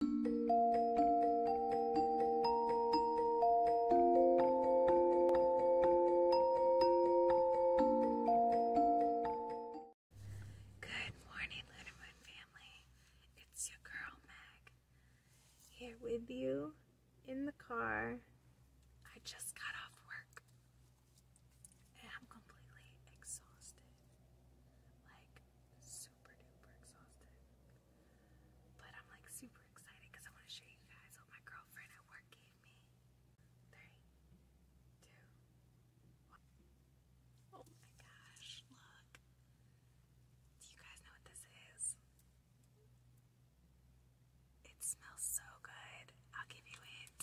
Good morning, Lunamoon family. It's your girl Meg here with you in the car. I just got off work and I'm completely exhausted. Like, so super exhausted. But I'm like super excited because I want to show you guys what my girlfriend at work gave me. Three, two, one. Oh my gosh, look. Do you guys know what this is? It smells so good. I'll give you it.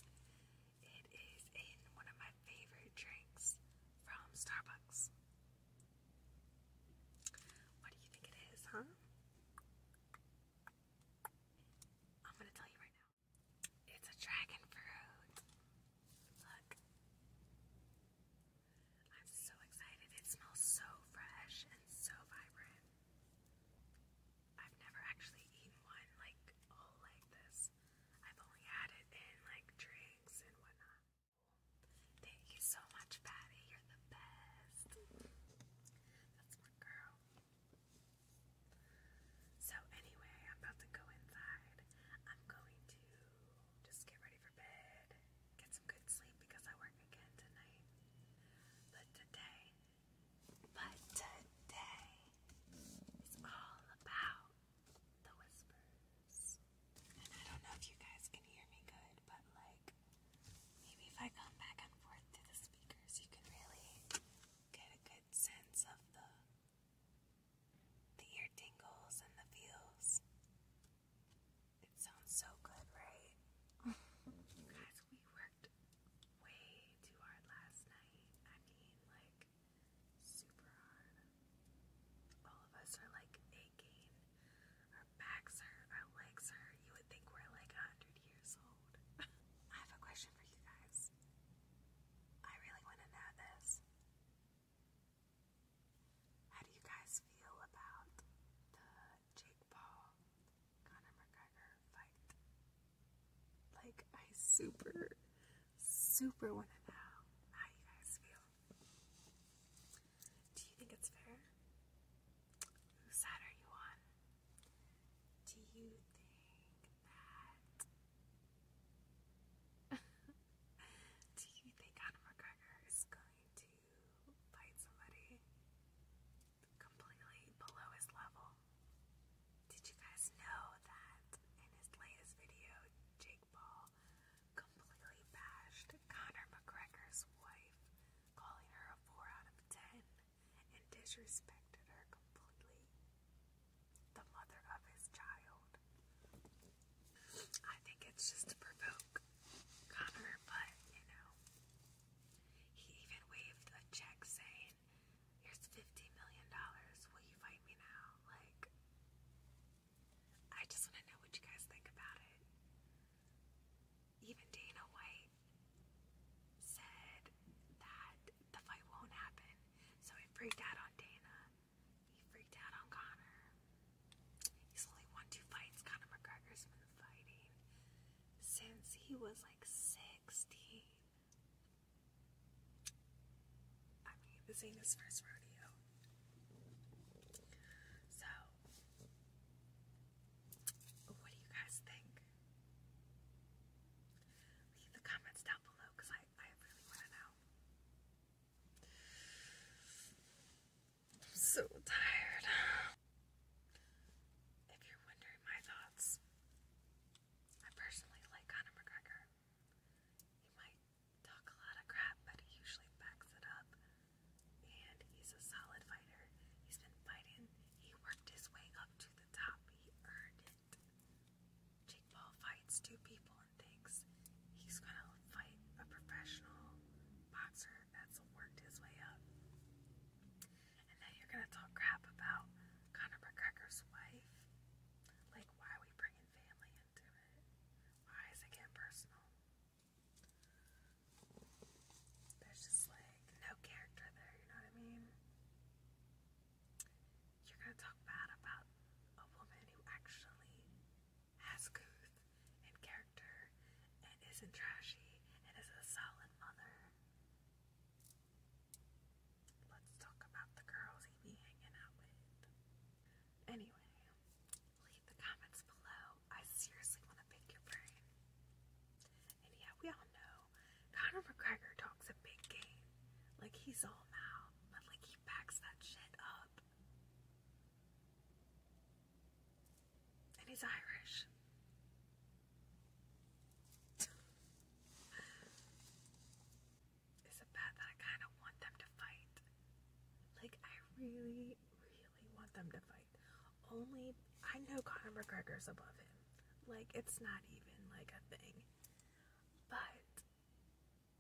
It is in one of my favorite drinks from Starbucks. What do you think it is, huh? I'm gonna tell you right now. It's a dragon fruit. Look. I'm so excited. It smells so fresh and so vibrant. I've never actually eaten one like all like this. I've only had it in like drinks and whatnot. Thank you so much, Patty. You're the best. That's my girl. So, anyway, I'm about to go inside. I'm going to just get ready for bed, get some good sleep because I work again tonight. But today, but today is all about the whispers. I don't know if you guys can hear me good, but like maybe if I come back and forth through the speakers, you can really get a good sense of the the ear tingles and the feels. It sounds so good, right? Guys, we worked way too hard last night. I mean, like super hard. All of us are like aching. Our backs hurt, our legs hurt. You would think we're like 100 years old. I have a question for you guys. I really want to know this. How do you guys feel about the Jake Paul Conor McGregor fight? Like, I super Super want to know how you guys feel. Do you think it's fair? Whose side are you on? Do you think that. Do you think Conor McGregor is going to fight somebody completely below his level? Did you guys know that in his latest video, Jay completely bashed Conor McGregor's wife, calling her a 4 out of 10, and disrespected her completely. The mother of his child. I think it's just to provoke Connor, but you know. He even waved a check saying, Here's $50 million, will you fight me now? Like, I just want to know what you guys think about it. Even Dana White said that the fight won't happen, so he freaked out on Dana. He freaked out on Connor. He's only won two fights. Conor McGregor's been fighting since he was like 16. I mean, this ain't his first rodeo. So, what do you guys think? Leave the comments down below because I, I really want to know. I'm so tired. If you're wondering my thoughts, I personally like Conor McGregor. He might talk a lot of crap, but he usually backs it up. And he's a solid fighter. He's been fighting. He worked his way up to the top. He earned it. Jake Paul fights two people and thinks he's gonna fight a professional boxer that's worked his way up. And then you're gonna talk crap about Conor McGregor's wife. Like, why we why is it getting personal? There's just like no character there, you know what I mean? You're gonna talk bad about a woman who actually has couth and character and isn't trashy and is a solid mother. Let's talk about the girls he hanging out with. Anyway, leave the comments below. I seriously want to pick your brain. And yeah, we all know Conor McGregor talks a big game. Like he's all mouth, but like he backs that shit up. And he's Irish is a that I kind of want them to fight. Like, I really, really want them to fight. Only, I know Conor McGregor's above him. Like, it's not even like a thing. But,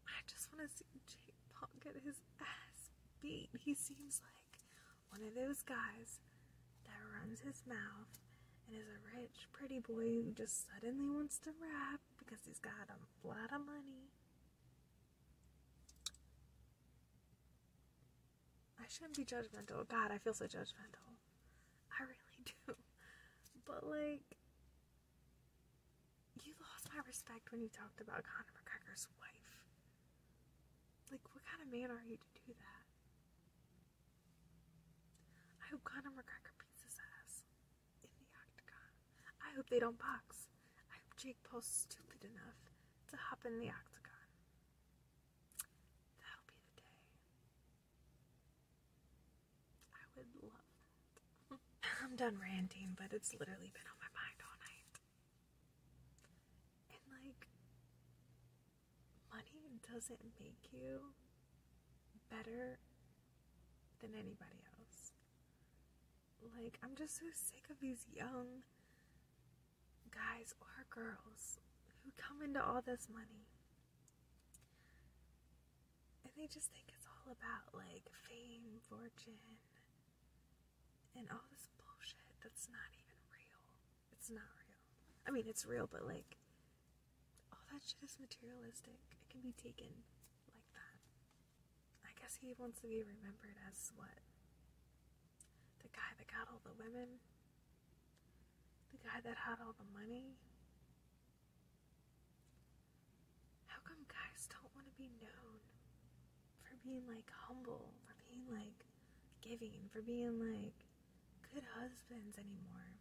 I just want to see Jake Paul get his ass beat. He seems like one of those guys that runs his mouth and is a rich, pretty boy who just suddenly wants to rap because he's got a lot of money. I shouldn't be judgmental. God, I feel so judgmental. I really do. But, like, you lost my respect when you talked about Conor McGregor's wife. Like, what kind of man are you to do that? I hope Conor McGregor beats his ass in the octagon. I hope they don't box. I hope Jake pulls stupid enough to hop in the octagon. That'll be the day. I would love that. I'm done ranting, but it's literally been on my mind all night. And like, money doesn't make you better than anybody else. Like, I'm just so sick of these young guys or girls who come into all this money and they just think it's all about like fame, fortune, and all this bullshit that's not even real. It's not real. I mean, it's real, but like, all oh, that shit is materialistic. It can be taken like that. I guess he wants to be remembered as what? The guy that got all the women? The guy that had all the money? How come guys don't want to be known for being like humble, for being like giving, for being like good husbands anymore?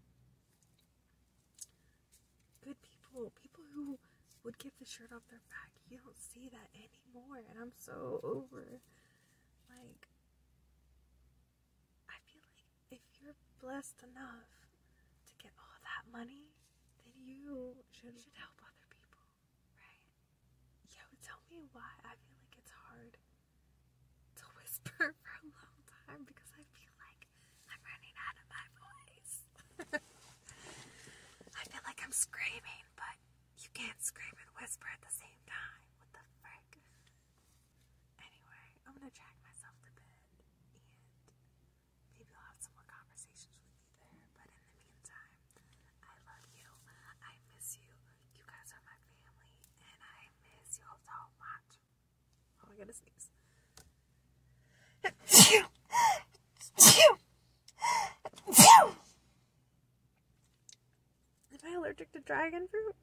good people, people who would give the shirt off their back. You don't see that anymore, and I'm so over. Like, I feel like if you're blessed enough to get all that money, then you should, help other people, right? Yo, tell me why I feel like it's hard to whisper for a long time because I feel like I'm running out of my voice. I feel like I'm screaming, but you can't scream and whisper at the same time. What the frick? Anyway, I'm gonna drag myself to bed and maybe I'll have some more conversations with you there. But in the meantime, I love you. I miss you. You guys are my family and I miss you all so much. Oh, I gotta sneeze. Am I allergic to dragon fruit?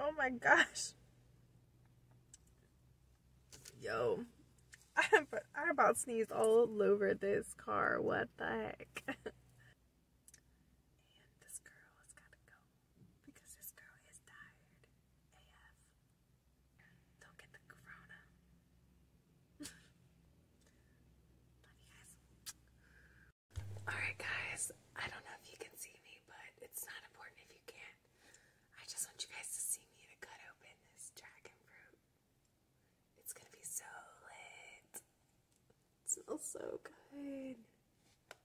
Oh my gosh. Yo. I about sneezed all over this car. What the heck? Because this girl is tired AF. Don't get the corona. Alright, guys. I don't know if you can see me, but it's not important if you can't. I just want you guys to see me cut open this dragon fruit. It's gonna be so lit. It smells so good.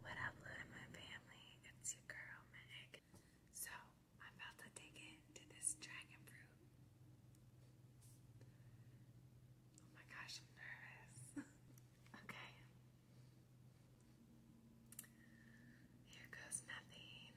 What up, Luna Moon family? It's your girl, Meg, so I'm about to take it to this dragon fruit. Oh my gosh, I'm nervous. okay. Here goes nothing.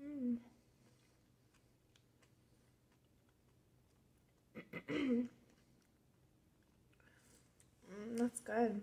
Mm. That's good.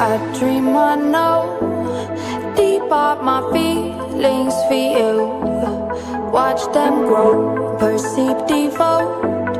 I dream I know Deep up my feelings for you Watch them grow Perceive devote